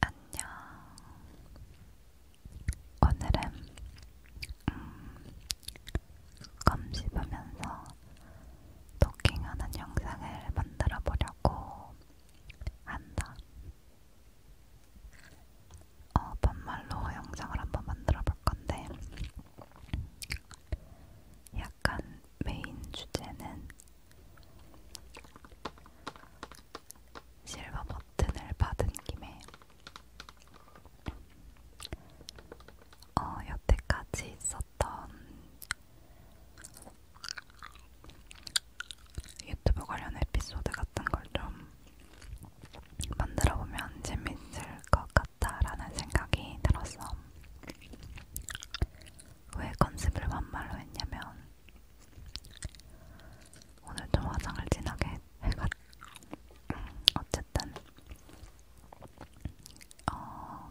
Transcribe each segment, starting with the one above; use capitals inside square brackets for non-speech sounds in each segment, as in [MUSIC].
안녕. 오늘은 음, 껌 씹으면서 토킹하는 영상을 만들어 보려고 한다. 어, 반말로 영상을 한번 만들어 볼 건데, 약 약간 메인 주제는 실버 버튼을 받은 김에 어, 여태까지 있었던 유튜브 관련 에피소드 같은 걸 좀 만들어보면 재밌을 것 같다라는 생각이 들었어. 왜 컨셉을 반말로 했냐면 오늘 좀 화장을 진하게 해가 음, 어쨌든 어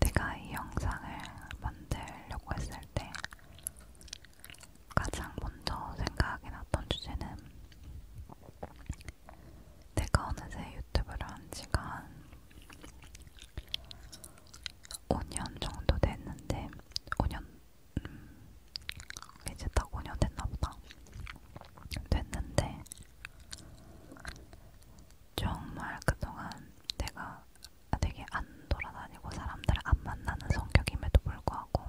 내가 이 영상을 만들려고 했을 때 가장 먼저 생각이 났던 주제는 내가 어느새 유튜브를 한 지가 5년 정도 됐는데 5년 음, 이제 딱 5년 됐나보다 됐는데 정말 그동안 내가 되게 안 돌아다니고 사람들을 안 만나는 성격임에도 불구하고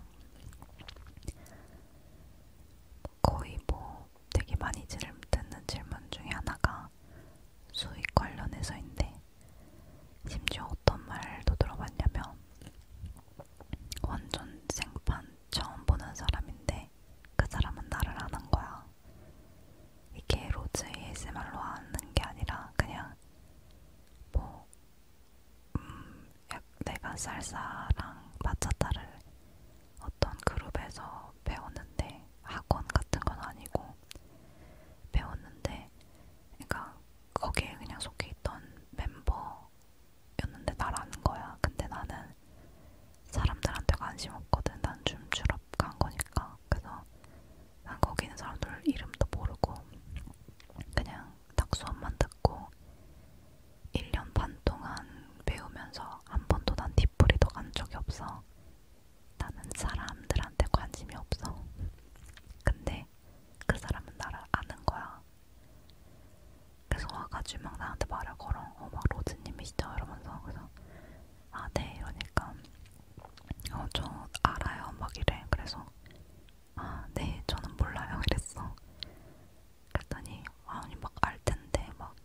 거의 뭐 되게 많이 듣는 질문 중에 하나가 수익 관련해서인데 심지어 어떤 말도 들어봤냐면 완전 생판 처음 보는 사람인데 그 사람은 나를 아는 거야. 이게 로즈 ASMR로 아는 게 아니라 그냥 뭐 음, 약 내가 쌀쌀랑 마차타를 어떤 그룹에서 배웠는데 학원 같은 건 아니고 배웠는데, 그러니까 거기에 그냥 속해 있던 멤버였는데 나라는 거야. 근데 나는 사람들한테 관심 없거든. 난좀 졸업 간 거니까. 그래서 난 거기 있는 사람들 이름도 모르고 그냥 딱 수업만 듣고 1년 반 동안 배우면서 한 번도 난 디프리도 간 적이 없어. 나는 사람들한테 관심이 없어. 근데 그 사람은 나를 아는 거야. 그래서 와가지고 막 나한테 말을 걸어. 어, 막 로즈님이시죠? 이러면서. 그래서, 아, 네. 이러니까, 어, 저 알아요. 막 이래. 그래서, 아, 네. 저는 몰라요. 이랬어. [LAUGHS] 그랬더니, 아, 아니, 막알 텐데, 막,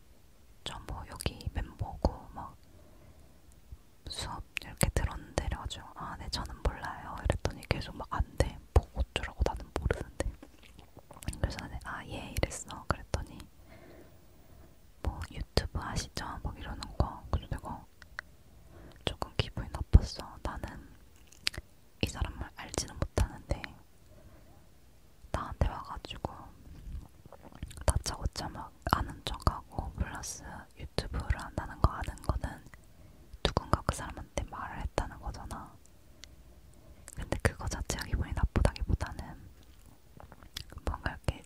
저뭐 여기 멤버고, 막, 수업 이렇게 들었는데 그래가지고 아, 네 저는 몰라요. 이랬더니 계속 막 안 돼. 보고 뭐 어쩌라고 나는 모르는데. 그래서 나는 아, 예 이랬어. 그랬더니 뭐 유튜브 하시죠? 막 뭐 이러는 거. 그래서 내가 조금 기분이 나빴어. 나는 이 사람을 알지는 못하는데 나한테 와가지고 다짜고짜 막 아는 척하고 플러스 내가 유튜브를 한다는 거 아는 거는 누군가 그 사람한테 말을 했다는 거잖아. 근데 그거 자체가 기분이 나쁘다기보다는 뭔가 이렇게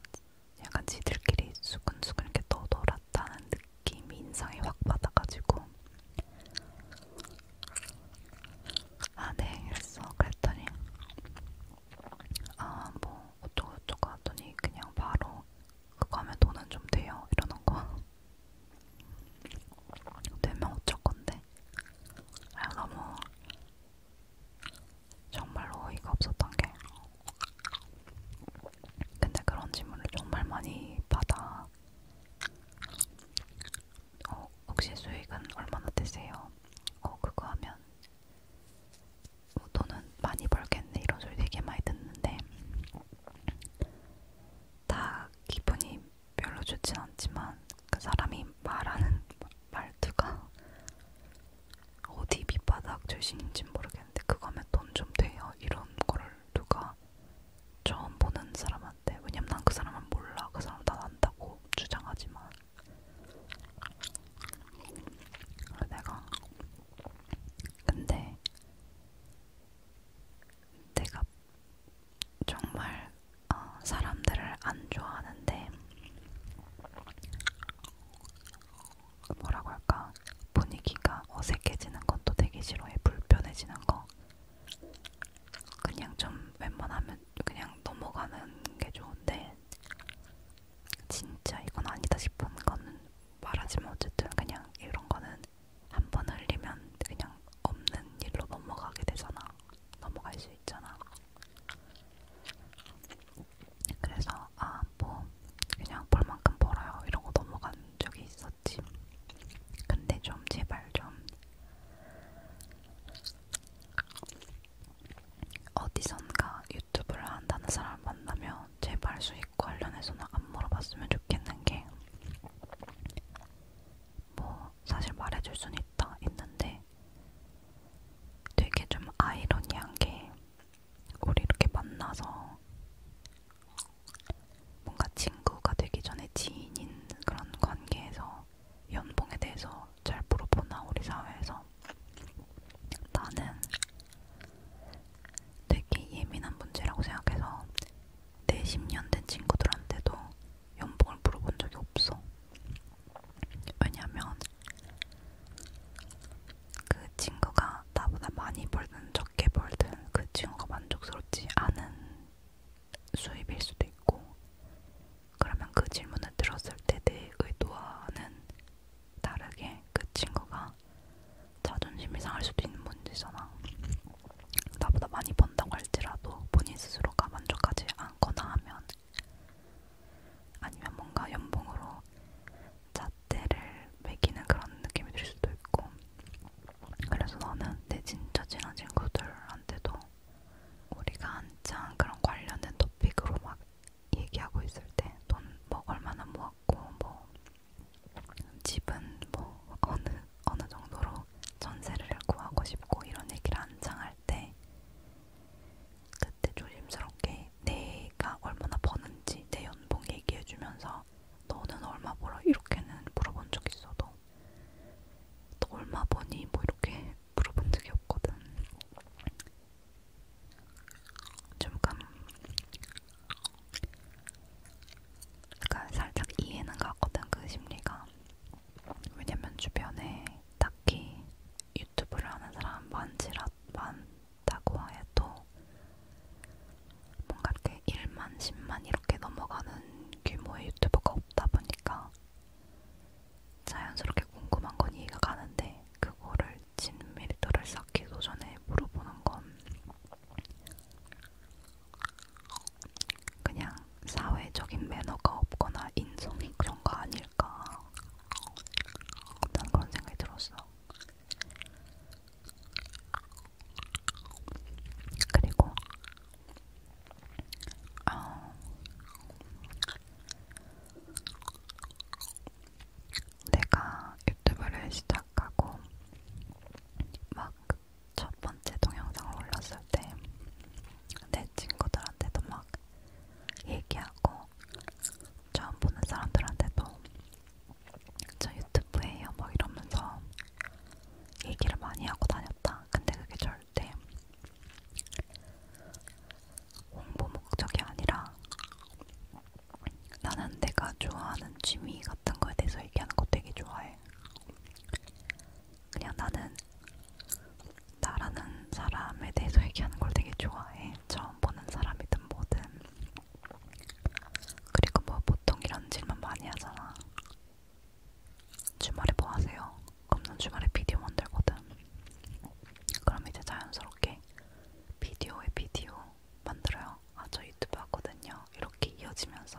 약간 지들끼리 수근수근 이렇게 떠돌았다는 느낌이 인상이 확 받아가지고 아네 이랬어 그랬더니 아뭐 어쩌고저쩌고 하더니 그냥 바로 그거 하면 돈은 좀 돼요 이러는 거 되면 어쩔 건데 아 너무 정말로 어이가 없었던 게 근데 그런 질문을 정말 많이 받아 어, 혹시 수익은 얼마나 되세요? 어, 그거 하면 뭐 어, 돈은 많이 벌겠네 이런 소리 되게 많이 듣는데 다 기분이 별로 좋진 않지만 그 사람이 말하는 말투가 어디 밑바닥 출신인지는 모르겠는데 그거면 돈 좀 돼요 이런 거를 누가 처음 보는 사람한테 왜냐면 난 그 사람은 몰라 그 사람 난 안다고 주장하지만 내가 근데 내가 정말 어, 사람들을 안 좋아하는데 뭐라고 할까 분위기가 어색해지는 것도 되게 싫어해 불편해지는 거 그냥 좀 웬만하면 그냥 넘어가는 게 좋은데 진짜 이건 아니다 싶은 거는 말하지만 어쨌든 그냥 이런 거는 한 번 흘리면 그냥 없는 일로 넘어가게 되잖아. 넘어갈 수 있잖아. 그래서 아 뭐 그냥 벌 만큼 벌어요 이러고 넘어간 적이 있었지. 근데 좀 제발 좀 어디선가 유튜브를 한다는 사람을 만나면 제발 수익 관련해서는 안 물어봤으면 좋겠는 게, 뭐, 사실 말해줄 순 있다, 있는데, 되게 좀 아이러니한 게, 우리 이렇게 만나서, 뭔가 친구가 되기 전에 지인인 그런 관계에서 연봉에 대해서 잘 물어보나, 우리 사회에서. 나는 되게 예민한 문제라고 생각해서 내 10년 된 친구들한테도 연봉을 물어본 적이 없어. 왜냐면 그 친구가 나보다 많이 벌든 적게 벌든 그 친구가 만족스럽지 않은 수입일 수도 있고 그러면 그 질문을 들었을 때 내 의도와는 다르게 그 친구가 자존심이 상할 수도 있는 문제잖아. 나보다 많이 번다고 할지라도 본인 스스로가 만족하지 않거나 하면 아니면 뭔가 연봉으로 잣대를 매기는 그런 느낌이 들 수도 있고 그래서 나는 내 진짜 친한 친구들한테도 우리가 한창 그런 관련된 토픽으로 막 얘기하고 있을 때 돈 뭐 얼마나 모았고 뭐 집은 뭐 어느 어느 정도로 전세를 구하고 싶고 이런 얘기를 한창 할 때 그때 조심스럽게 내가 얼마나 버는지 내 연봉 얘기해주면서 너는 얼마 벌어 이렇게는 물어본 적 있어도 너 얼마 버니 뭐 이렇게 물어본 적이 없거든. 조금 그러니까 살짝 이해는 가거든 그 심리가 왜냐면 주변에 딱히 유튜브를 하는 사람 많지라 많다고 해도 뭔가 이렇게 1만 10만 이렇게 넘어가는 규모의 유튜버가 없다 보니까 자연스럽게 궁금한 건 이해가 가는데 그거를 진미리터를 쌓기도 전에 물어보는 건 그냥 사회적인 매너가 없거나 인성이 그런 거 아닐까 난 그런 생각이 들었어. 그리고 어, 내가 유튜브를 시작하고 막 첫 번째 동영상을 올렸을 때 내 친구들한테도 막 얘기하고 처음 보는 사람들한테도 저 유튜브에요 막 이러면서 얘기를 많이 하고 다녔다. 근데 그게 절대 홍보 목적이 아니라 나는 내가 좋아하는 취미 같은 거에 대해서 얘기하는 거 되게 좋아해. 그냥 나는 나라는 사람에 대해서 얘기하는 걸 되게 좋아해. 처음 보는 사람이든 뭐든. 그리고 뭐 보통 이런 질문 많이 하잖아. 주말에 뭐 하세요? 그럼 난 주말에 비디오 만들거든. 그럼 이제 자연스럽게 비디오에 비디오, 만들어요. 아, 저 유튜브 하거든요. 이렇게 이어지면서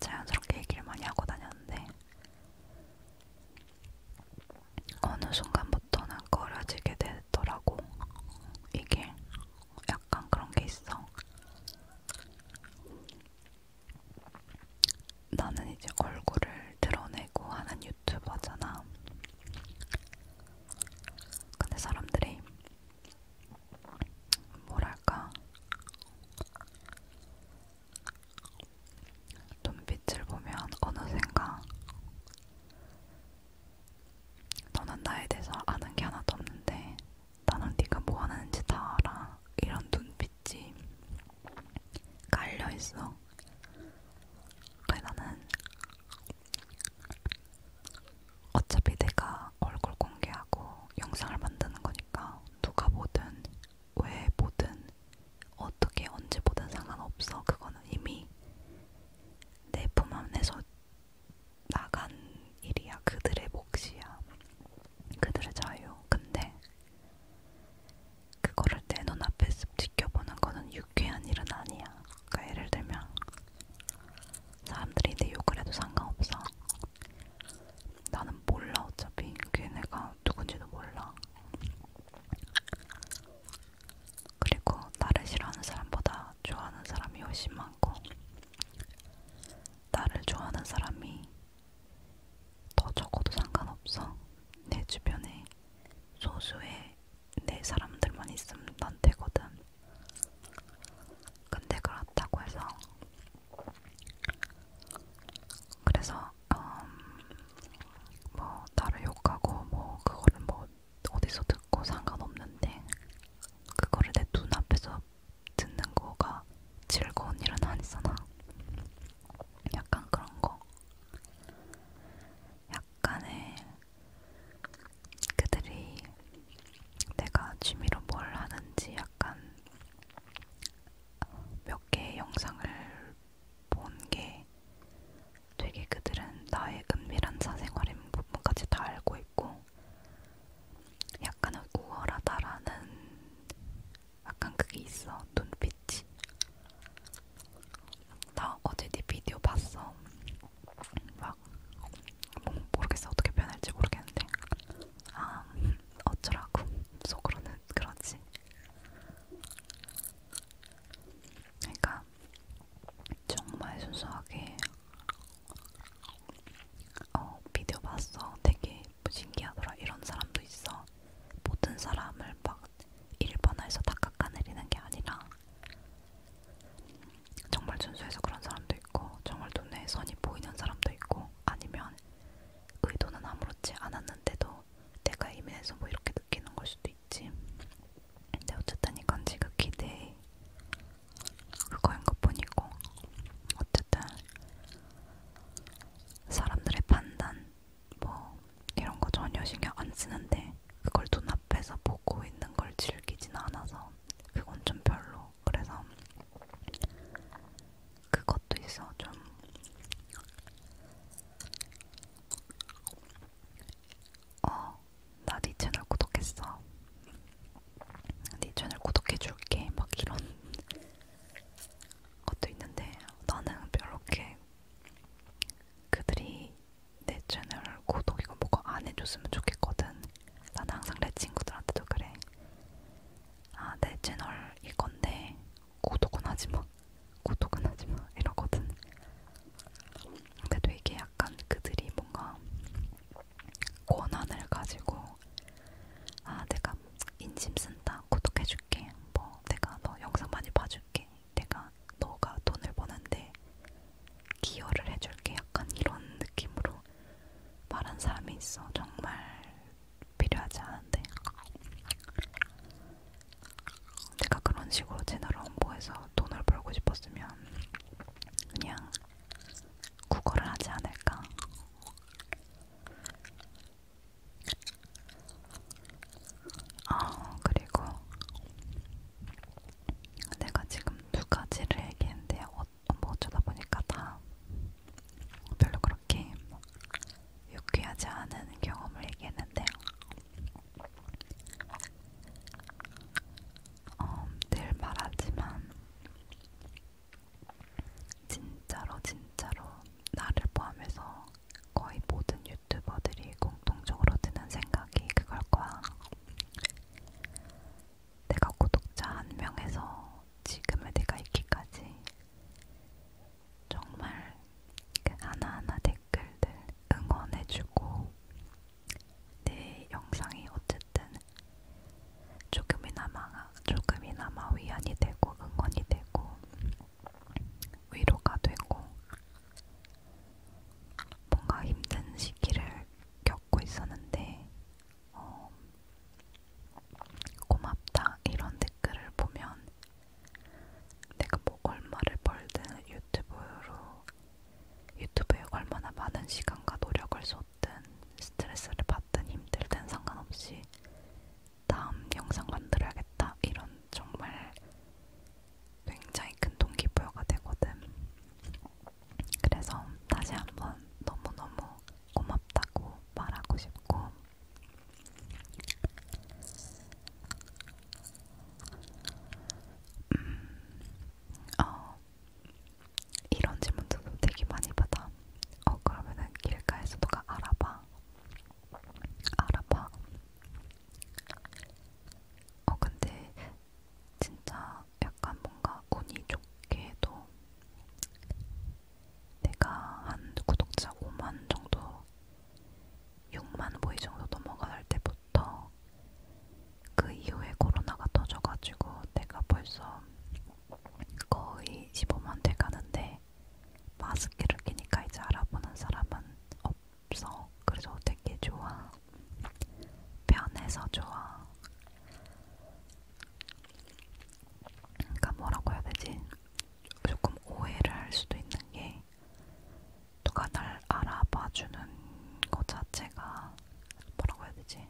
자연스럽게 얘기를 많이 하고 다녔는데 어느 순간부터는 꺼려지게 되더라고. 이게 약간 그런 게 있어. 나는 이제 얼굴을 드러내고 하는 유튜버잖아. 근데 사람들이 뭐랄까 눈빛을 보면 어느샌가 너는 나에 대해서 아는 게 하나도 없는데 나는 네가 뭐 하는지 다 알아 이런 눈빛이 깔려있어 그래 나는 어차피 내가 얼굴 공개하고 영상을 만드는 거니까 누가 보든 왜 보든 어떻게 언제 보든 상관없어. 그거는 이미 내 품 안에서 나간 일이야. 그들의 몫이야. 그들의 자유. 근데 그거를 내 눈앞에서 지켜보는 거는 유쾌한 일은 아니야. 그러니까 예를 들면 사람들이 내 욕을 해도 상관없어. 나는 몰라 어차피 걔네가 누군지도 몰라. 그리고 나를 싫어하는 사람보다 좋아하는 사람이 훨씬 많고 나를 좋아하는 사람이 더 적어도 상관없어. 내 주변에 소수의 내 네, 사람들만 있으면 난 되거든. 근데 그렇다고 해서 그래서 음, 뭐 나를 욕하고 뭐 그거를 뭐 어디서 듣고 상관없는데 그거를 내 눈앞에서 듣는 거가 즐거운 일은 아니잖아. 약간 그런 거. 약간의 그들이 내가 취미로 뭘 하는지 약간 몇 개의 영상을 본 게 되게 그들은 나의 은밀한 사생활의 부분까지 다 알고 있고 약간은 우월하다라는 약간 그게 있어 눈빛이 나 어제 네 비디오 봤어. 막 뭐, 모르겠어 어떻게 표현할지 모르겠는데 아 어쩌라고 속으로는 그렇지. 그러니까 정말 순수하게 어 비디오 봤어. 되게 신기하더라. 이런 사람도 있어. 모든 사람을 막 일본어에서 다 깎아내리는 게 아니라 정말 준수해서 그런 사람도 있고 정말 눈에 선이 보이는 사람도 있고 아니면 의도는 아무렇지 않았는데도 내가 예민해서 뭐 이렇게 느끼는 걸 수도 있지 근데 어쨌든 이건 지극히 내 그거인 것 뿐이고 어쨌든 사람들의 판단 뭐 이런 거 전혀 신경 안 쓰는데 그걸 눈앞에서 보고 있는 걸 즐기진 않아서 그건 좀 별로. 그래서 그것도 있어. 좀 어, 나네 채널 구독했어. 네 채널 구독해줄게. 막 이런 것도 있는데 나는 별로 이렇게 그들이 내 채널 구독 이거 뭐가 안 해줬으면 좋겠거든. 난 항상 내 친구들한테도 그래. 아, 내 채널 이건데 구독은 하지 마. 구독은 하지 마. 이러거든. 그래도 이게 약간 그들이 뭔가 권한을 가지고 아, 내가 인심 쓴다. 구독해줄게. 뭐, 내가 너 영상 많이 봐줄게. 내가 너가 돈을 버는데 기여를 해줄게 약간 이런 느낌으로 말한 사람이 있어 정말 필요하지 않은데 내가 그런 식으로 채널을 홍보해서 돈을 벌고 싶었으면 그냥 국어를 하지 않을까 아 그리고 내가 지금 두 가지를 얘기했는데 어, 뭐 어쩌다 보니까 다 별로 그렇게 뭐 유쾌하지 않은 경험을 얘기했는데 어, 늘 말하지만 진짜로 진짜로 나를 포함해서 거의 모든 유튜버들이 공통적으로 드는 생각이 그걸 거야. 내가 구독자 한 명에서 지금의 내가 있기까지 정말 그 하나하나 댓글들 응원해주고 내 영상이 어쨌든 조금이나마 조금이나마 위안이 되고 응원이 되고 위로가 되고 뭔가 힘든 시기를 겪고 있었는데 어, 고맙다 이런 댓글을 보면 내가 뭐 얼마를 벌든 유튜브로 유튜브에 얼마나 많은 시간과 노력을 쏟든 스트레스를 받든 힘들든 상관없이 다음 영상 만들어야겠다 이런 정말 굉장히 큰 동기부여가 되거든. 그래서 다시 한번 너무너무 고맙다고 말하고 싶고, 음, 어, 이런 질문들도 되게 많이 받아. 어, 그러면은 길가에서 누가 알아봐. 알아봐. 어 근데 진짜 약간 뭔가 운이 좋게도 내가 한 구독자 5만 정도 6만 보이 정도 넘어갈 때부터 그 이후에 코로나가 터져가지고 내가 벌써 거의 15만 돼가는데 마스크를 끼니까 이제 알아보는 사람은 없어. 그래서 되게 좋아. 편해서 좋아. 그러니까 뭐라고 해야 되지? 조금 오해를 할 수도 있는 게 누가 날 알아봐주는 것 자체가 뭐라고 해야 되지?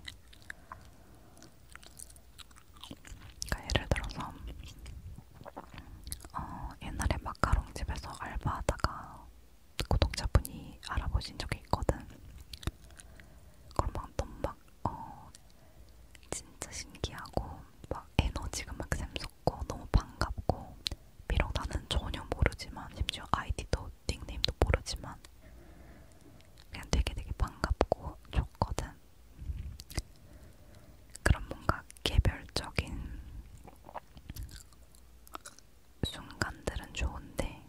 그러니까 예를 들어서 어, 옛날에 마카롱 집에서 알바하다가 구독자분이 알아보신 적이 있거든. 그럼 막 너무 막 어, 진짜 신기하고 막 에너지가 막 샘솟고 너무 반갑고 비록 나는 전혀 모르지만 심지어 아이디도 닉네임도 모르지만 그냥 되게 되게 반갑고 좋거든. 그런 뭔가 개별적인 순간들은 좋은데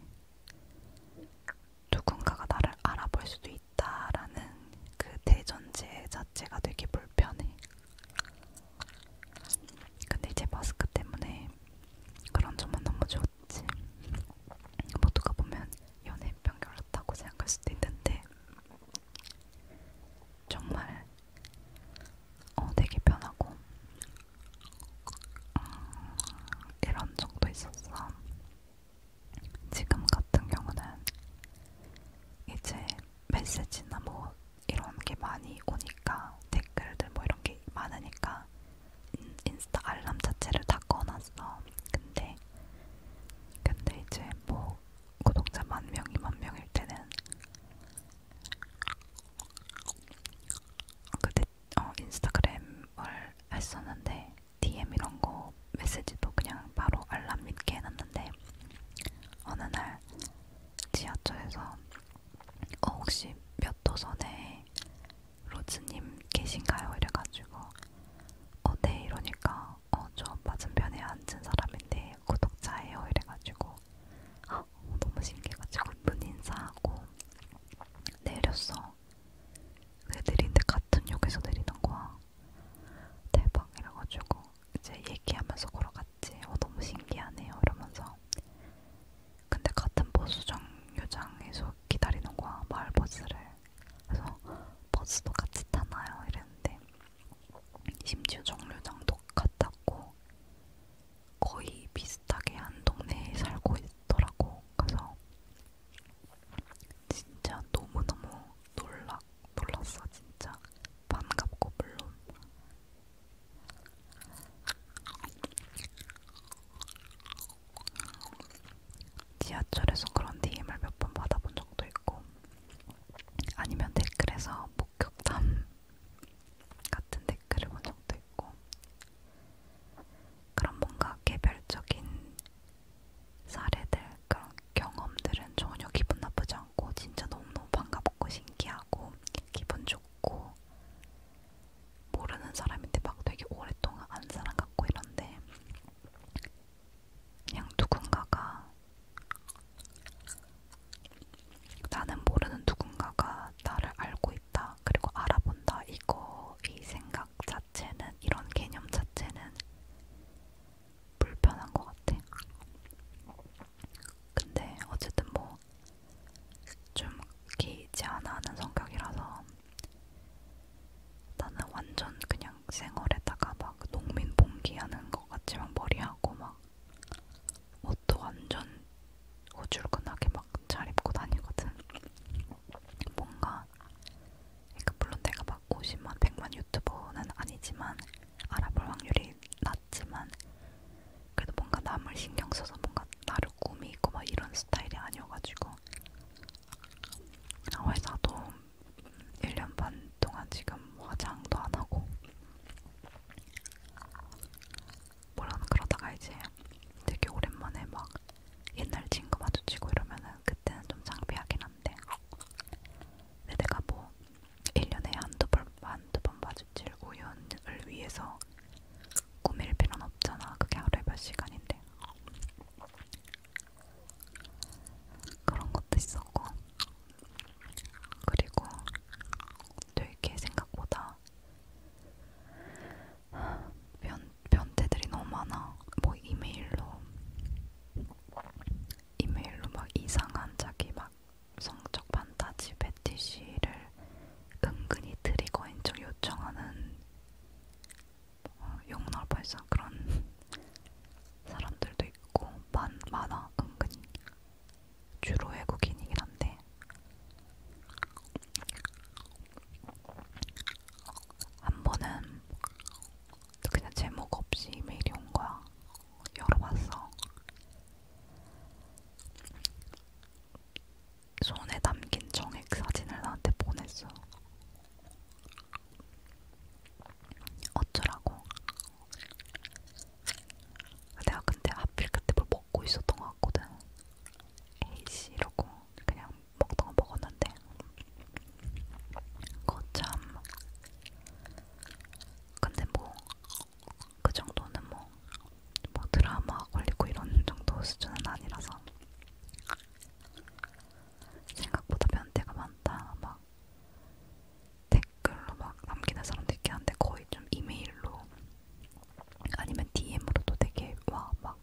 누군가가 나를 알아볼 수도 있다라는 그 대전제 자체가 되게 불편해. 근데 이제 마스크 때문에 그런 점은 너무 좋지. 모두가 보면 연예병 결렇다고 생각할 수도 있는데 정말 어, 되게 편하고 음, 이런 적도 있었어. 지금 같은 경우는 이제 메시지나 뭐 이런 게 많이 오니까 댓글들 뭐 이런 게 많으니까 인, 음, 인스타 알람 자체를 다 꺼놨어. 근데 근데 이제 뭐 구독자 만 명이 만 명일 때는 그때 어, 인스타그램을 했었는데 DM 이런 거 메시지도 그냥 바로 알람 믿게 해놨는데 어느 날 지하철에서 어, 혹시 몇 도선에 로즈님 계신가요? 이래가지고 어, 네 이러니까 어, 저 맞은편에 앉은 사람인데 구독자예요 이래가지고 아 너무 신기해가지고 문 인사하고 내렸어. 내리는데 같은 역에서 내리는 거야. 대박 이래가지고 이제 얘기하면서 걸어갔지. 어 너무 신기하네요 이러면서. 근데 같은 버스 정류장에서 기다리는 거야 마을 버스를. 그래서 버스도 같이 타나요 이랬는데 심지어 정류장도 같았고 거의 비슷하게 한 동네에 살고 있더라고. 그래서 진짜 너무너무 놀라, 놀랐어, 진짜. 반갑고, 물론. 지하철에서 그런 DM을 몇 번 받아본 적도 있고, 아니면 댓글에서 목격담 같은 댓글을 본 적도 있고 그런 뭔가 개별적인 사례들 그런 경험들은 전혀 기분 나쁘지 않고 진짜 너무너무 반갑고 신기하고 기분 좋고 모르는 사람인데 막 되게 오랫동안 아는 사람 같고 이런데 그냥 누군가가 나는 모르는 누군가가 나를 알고 있다. 그리고 알아본다. 이거, 이 생각 자체는, 이런 개념 자체는 불편한 것 같아. 근데 어쨌든 뭐좀 개의치 않아 하는 성격이라서 나는 완전 그냥 생얼에다가 막 농민 봉기하는 것 같지만 머리하고 막 옷도 완전 고줄근하게 막 잘 입고 다니거든. 뭔가 그러니까 물론 내가 막 50만 100만 유튜버는 아니지만 알아볼 확률이 낮지만 그래도 뭔가 남을 신경 써서 뭔가 나를 꾸미고 막 이런 스타일이 아니어가지고 아, 회사도 1년 반 동안 지금 화장도 안 하고 뭐라는 그러다가 이제 되게 오랜만에 막 옛날 친구 마주치고 이러면은 그때는 좀 창피하긴 한데 근데 내가 뭐 1년에 한두 번, 한두 번 마주칠 우연을 위해서 꾸밀 필요는 없잖아 그게 하루에 몇 시간인데 그런 것도 있었고 그리고 되게 생각보다 변, 변태들이 너무 많아. 뭐 이메일로 이메일로 막 이상한 자기 막 성적 판타지 배티시를 은근히 트리거 인적 요청하는 어, 용납 발사 그런 사람들도 있고 많 많아 은근히 주로 외국인이긴 한데 한 번은 그냥 제목 없이 이메일이 온 거야. 열어봤어. 손에 담긴 정액 사진을 나한테 보냈어. 어쩌라고. 내가 근데 하필 그때 뭘 먹고 있었던 것 같거든. 에이씨 이러고 그냥 먹던 거 먹었는데 그거 참 근데 뭐 그 정도는 뭐, 뭐 드라마 걸리고 이런 정도 수준은 아니라서 생각보다 변태가 많다 막 댓글로 막 남기는 사람도 있긴 한데 거의 좀 이메일로 아니면 DM으로도 되게 와 막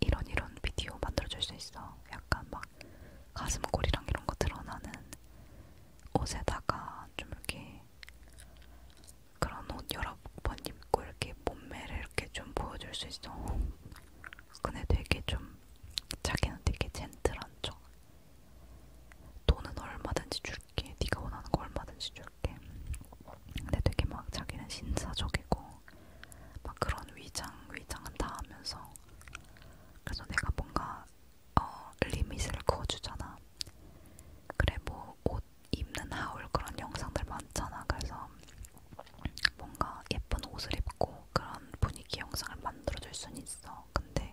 이런 이런 비디오 만들어줄 수 있어. 약간 막 가슴골이랑 이런 거 드러나는 옷에다가 좀 이렇게 그런 옷 여러 번 입고 이렇게 몸매를 이렇게 좀 보여줄 수 있어. 근데 되게 좀 자기는 되게 젠틀한 척. 돈은 얼마든지 줄게. 네가 원하는 거 얼마든지 줘. 이렇게. 근데 되게 막 자기는 신사적이고 막 그런 위장 위장한다 하면서 그래서 내가 뭔가 어 리밋을 그어주잖아. 그래 뭐 옷 입는 하울 그런 영상들 많잖아. 그래서 뭔가 예쁜 옷을 입고 그런 분위기 영상을 만들어줄 순 있어. 근데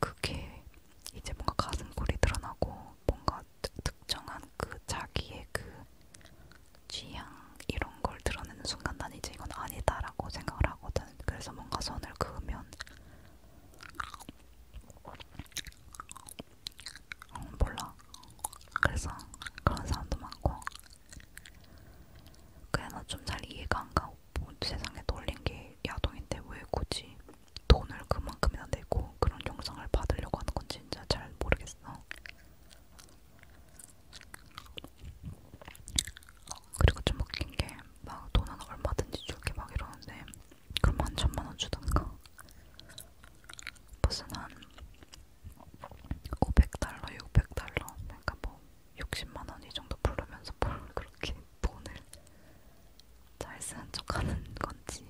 그게 이제 뭔가 가슴골이 드러나고 뭔가 특정한 그 자기의 그 취향 이런 걸 드러내는 순간 난 이제 이건 아니다라고 생각을 하거든. 그래서 뭔가 선을 그으면 어, 몰라. 그래서 그런 사람도 많고 그래서 좀잘 이해가 안 가고 뭐 세상에 놀린 게 야동인데 왜 굳이 돈을 그만큼이나 내고 그런 영상을 받으려고 하는 건지 진짜 잘 모르겠어. 그리고 좀 웃긴 게 막 돈은 얼마든지 줄게 막 이러는데 그럼 한 천만 원 주던가 무슨 한 500달러, 600달러 그러니까 뭐 60만 원 이 정도 부르면서 뭘 [LAUGHS] 그렇게 돈을 잘 쓰는 척하는 건지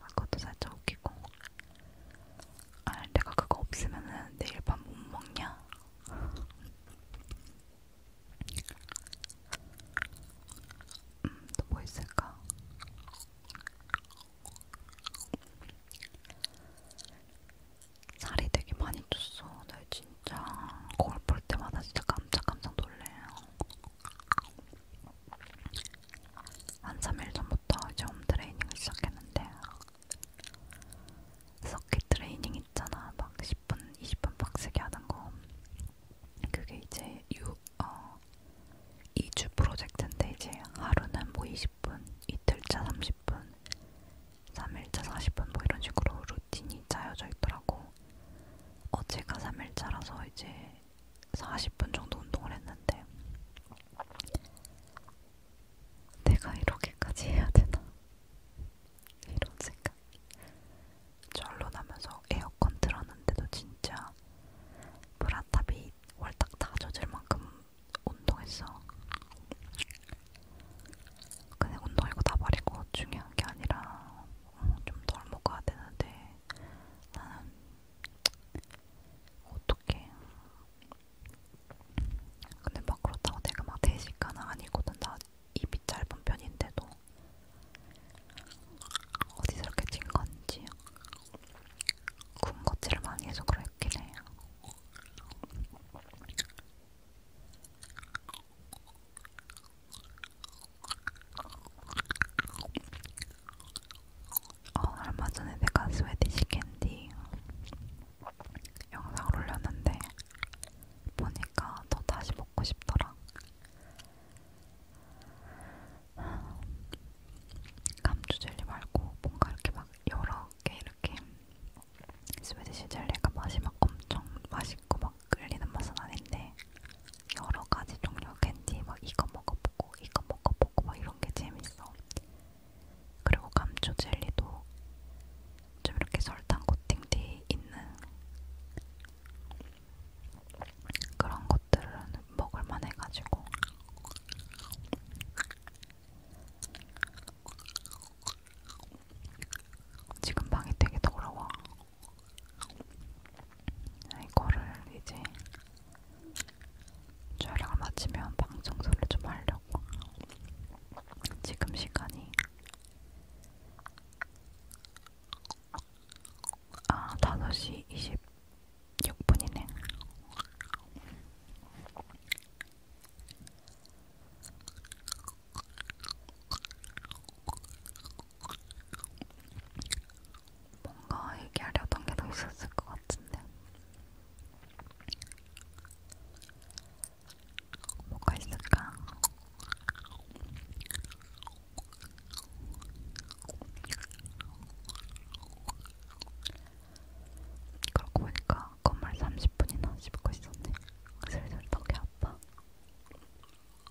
아, 그것도 살짝 웃기고 아 내가 그거 없으면은 내일 밤 못 먹냐? 음, 또 뭐 있을까? 살이 되게 많이 쪘어. 나 진짜 거울 볼 때마다 진짜 깜짝깜짝 놀래요. 한 3일 전부터 이제 홈 트레이닝을 시작했는데 서킷 트레이닝 있잖아 막 10분, 20분 빡세게 하는 거 그게 이제 유, 어, 2주 프로젝트인데 이제 하루는 뭐 20분, 이틀차 30분, 3일차 40분 뭐 이런 식으로 루틴이 짜여져 있더라고. 어제가 3일차라서 이제 40분 정도 운동을 했는데 내가 이렇게까지 해야 되나? 이런 생각이. 절로 나면서 에어컨 틀었는데도 진짜 브라탑이 월딱 다 젖을 만큼 운동했어. 근데 운동이고 나발이고 중요한 게 아니라 어, 좀덜 먹어야 되는데 나는 어떻게? 근데 막 그렇다고 내가 막 대식가는 아니거든. 나 입이 짧은 편인데도 어디서 이렇게 찐 건지 군것질을 많이 해서 그랬긴 해요. 어, 얼마 전에 내가 스웨디시 캔디 영상을 올렸는데 보니까 또 다시 먹고 싶더라. 감주 젤리 말고 뭔가 이렇게 막 여러 개 이렇게 스웨디시 젤리가 맛이 막 엄청 맛있고 막 끌리는 맛은 아닌데 여러 가지 종류 캔디 막 이거 먹어보고 이거 먹어보고 막 이런 게 재밌어. 그리고 감초 젤리도 좀 이렇게 설탕 코팅돼 있는 그런 것들은 먹을만 해가지고. 지금 방이 되게 더러워. 이거를 이제 촬영을 마치면 방 청소를 좀 하려고. 지금 시간이 아 5시 26분이네. 뭔가 얘기하려던 게 더 있었을 것 같은데 뭐가 있을까? 그러고 보니까 건물 30분이나 씹고 있었네. 슬슬 덕이 아파.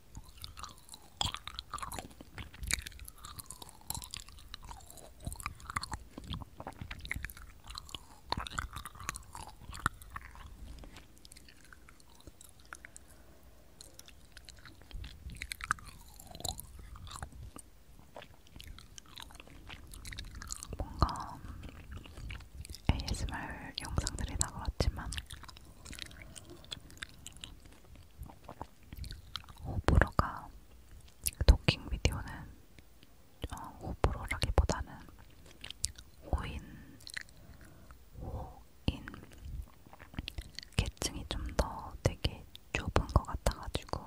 뭔가 ASMR 영상들이 다 그렇지만 호불호가 도킹 비디오는 어, 호불호라기보다는 호인, 호인 계층이 좀 더 되게 좁은 것 같아가지고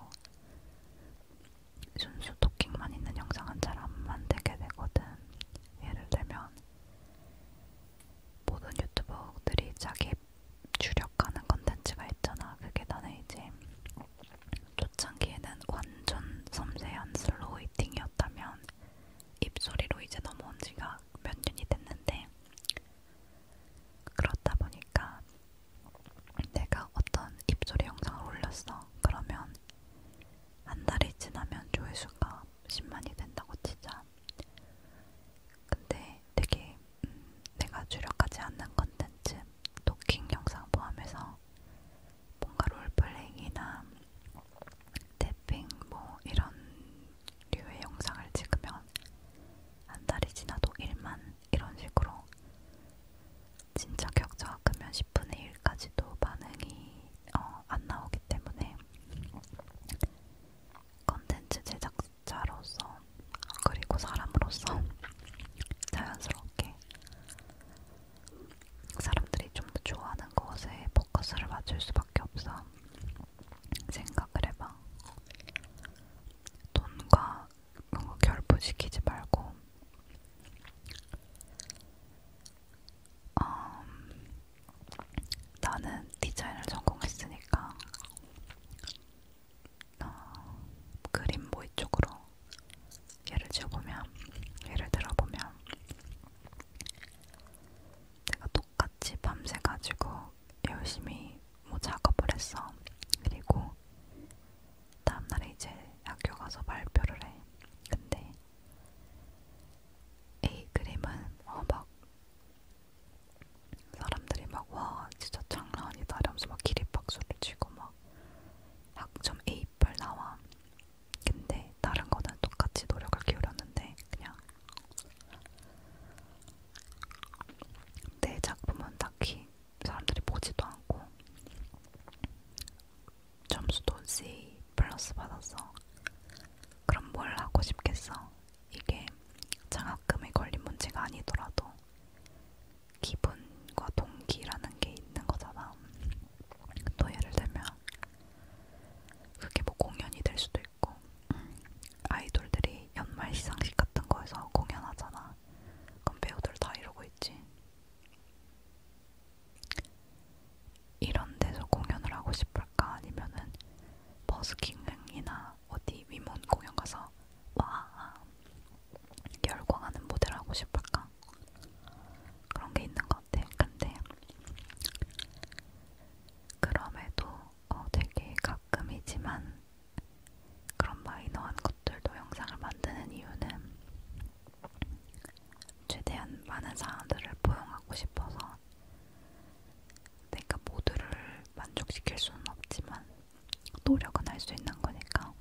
순수 도킹만 있는 영상은 잘 안 만들게 되거든. 예를 들면 모든 유튜버들이 자기 주력하는 컨텐츠가 있잖아. 그게 나는 이제 초창기에는 완전 섬세한 슬로우 이팅이었다면 입소리로 이제 넘어온 지가 몇 년이 됐는데 그렇다 보니까 내가 어떤 입소리 영상을 올렸어. 그러면 한 달이 지나면 조회수가 10만이 된다고 치자. 근데 되게 음, 내가 주력하지 않는 컨텐츠, 토킹 영상 포함해서 뭔가 롤플레잉이나 태핑 뭐 이런 류의 영상을 찍으면 한 달이 지나도 1만 이런 식으로 진짜 격차가 크면 10분의 1까지도 반응이 어, 안 나오기 때문에 컨텐츠 제작자로서 그리고 사람으로서 [LAUGHS] 자연스럽게 사람들이 좀 더 좋아하는 것에 포커스를 맞출 수밖에 없어. 생각을 해봐. 돈과 뭔가 결부시키지 말고 음, 나는 디자인을 전공했으니까 어, 그림 모의 쪽으로 예를 지어보면 예를 들어보면 내가 똑같이 밤새 가지고 열심히 뭐 작업을 했어. 그리고 다음날에 이제 학교 가서 발표를 해. 근데 A 그림은 어막 사람들이 막 와 진짜 장난 아니다 이러면서 막 기립박수를 치고 막 학점 A8 나와 근데 다른 거는 똑같이 노력을 기울였는데 그냥 내 작품은 딱히 사람들이 보지도 않고 점수도 C 플러스 받았어 그럼 뭘 하고 싶겠어 이게 장학금에 걸린 문제가 아니더라도 기분과 동기라는 게 있는 거잖아. 또 예를 들면 그게 뭐 공연이 될 수도 있고 음, 아이돌들이 연말 시상식 같은 거에서 공연하잖아. 그럼 배우들 다 이러고 있지. 이런 데서 공연을 하고 싶을까 아니면은 버스킹이나 어디 위문 공연 가서 와 열광하는 모델 하고 싶을까? 그런 게 있는 것 같아. 근데 그럼에도 어, 되게 가끔이지만 그런 마이너한 것들도 영상을 만드는 이유는 최대한 많은 사람들을 포용하고 싶어서 내가 모두를 만족시킬 수는 없지만 노력은 할 수 있는 거니까.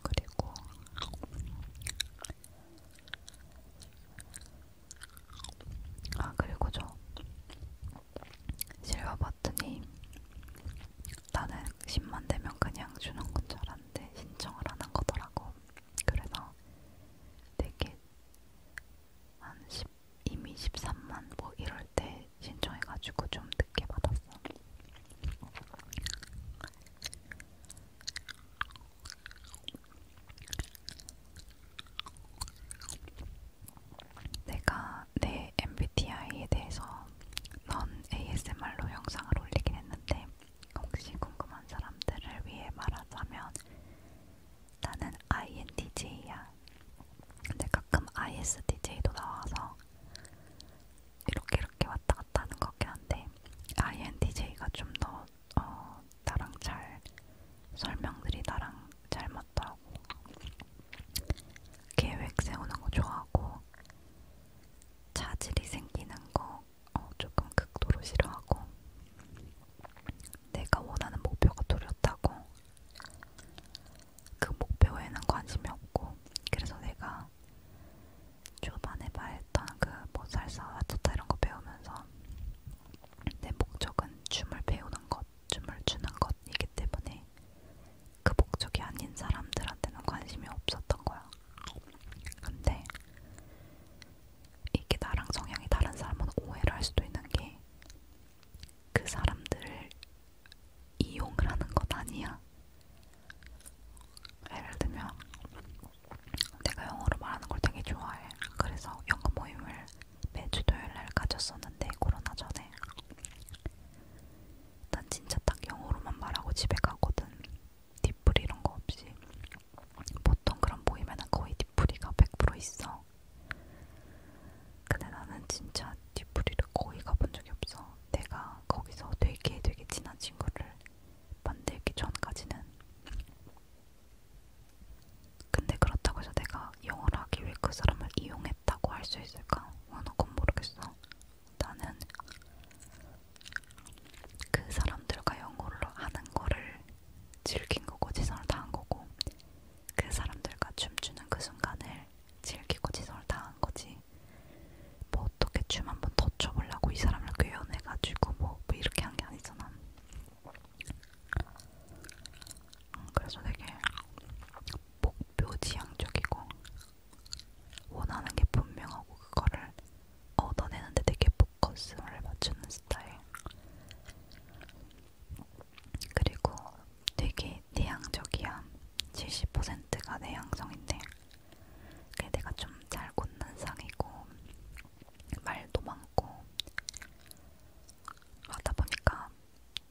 그리고 아 그리고 저 실버 버튼이 나는 10만 되면 그냥 주는 건줄 알았는데 신청을 하는 거더라고. 그래서 되게 한 10, 이미 13만 뭐 이럴 때 신청해가지고 좀 늦게 받았어. 내가 내 MBTI에 대해서 넌 ASMR로 영상을 올리긴 했는데 혹시 궁금한 사람들을 위해 말하자면 나는 INTJ야. 근데 가끔 ISTJ도 나와서 이렇게 이렇게 왔다 갔다 하는 거긴 한데 INTJ가 좀더 어, 나랑 잘 설명들이 나랑 잘 맞더라고. 계획 세우는 거 좋아하고 차질이 생기는 거 어, 조금 극도로 싫어하고 내가 원하는 목표가 두렵다고 그 목표에는 관심이 없고 그래서 내가 초반에 말했던 그뭐 살사, 와차타 이런 거 배우면서 내 목적은 춤을 배우는 것, 춤을 추는 것이기 때문에 그 목적이 아닌 사람들한테는 관심이 없었던 거야. 근데 이게 나랑 성향이 다른 사람은 오해를 할 수도 있는 게 그 사람들을 이용을 하는 것 아니야. 예를 들면 내가 영어로 말하는 걸 되게 좋아해. 그래서 영어 모임을 매주 토요일 날 가졌었는데 코로나 전에 난 진짜 딱 영어로만 말하고 집에 가거든. 뒷풀이 이런 거 없이 보통 그런 모임에는 거의 뒷풀이가 100% 있어. 근데 나는 진짜 뒷풀이를 거의 가본 적이 없어. 내가 거기서 되게 되게 친한 친구를 만들기 전까지는. 근데 그렇다고 해서 내가 영어를 하기 위해 그 사람을 이용했다고 할 수 있을까? 어, 나건 모르겠어. 나는 그 사람들과 영어를 하는 거를 즐긴 거고 지선을 다한 거고 그 사람들과 춤추는 그 순간을 즐기고 지선을 다한 거지 뭐 어떻게 춤 한번 더 춰보려고 이 사람을 괴연해가지고 뭐, 뭐 이렇게 한 게 아니잖아 음, 그래서 되게 목표 지향적이고 원하는 게 분명하고 그거를 얻어내는데 되게 포커스를 맞추는 스타일. 그리고 되게 내향적이야. 70%가 내향성인데 그게 내가 좀잘 꽂는 상이고 말도 많고 그러다 보니까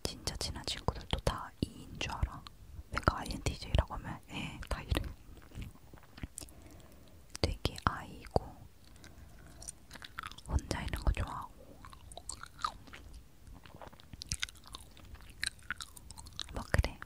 진짜 친한 친구들도 다 이인 줄 알아. 내가 INTJ라고 하면 예, 다 이래. 되게 아이고 혼자 있는 거 좋아하고 뭐 그래.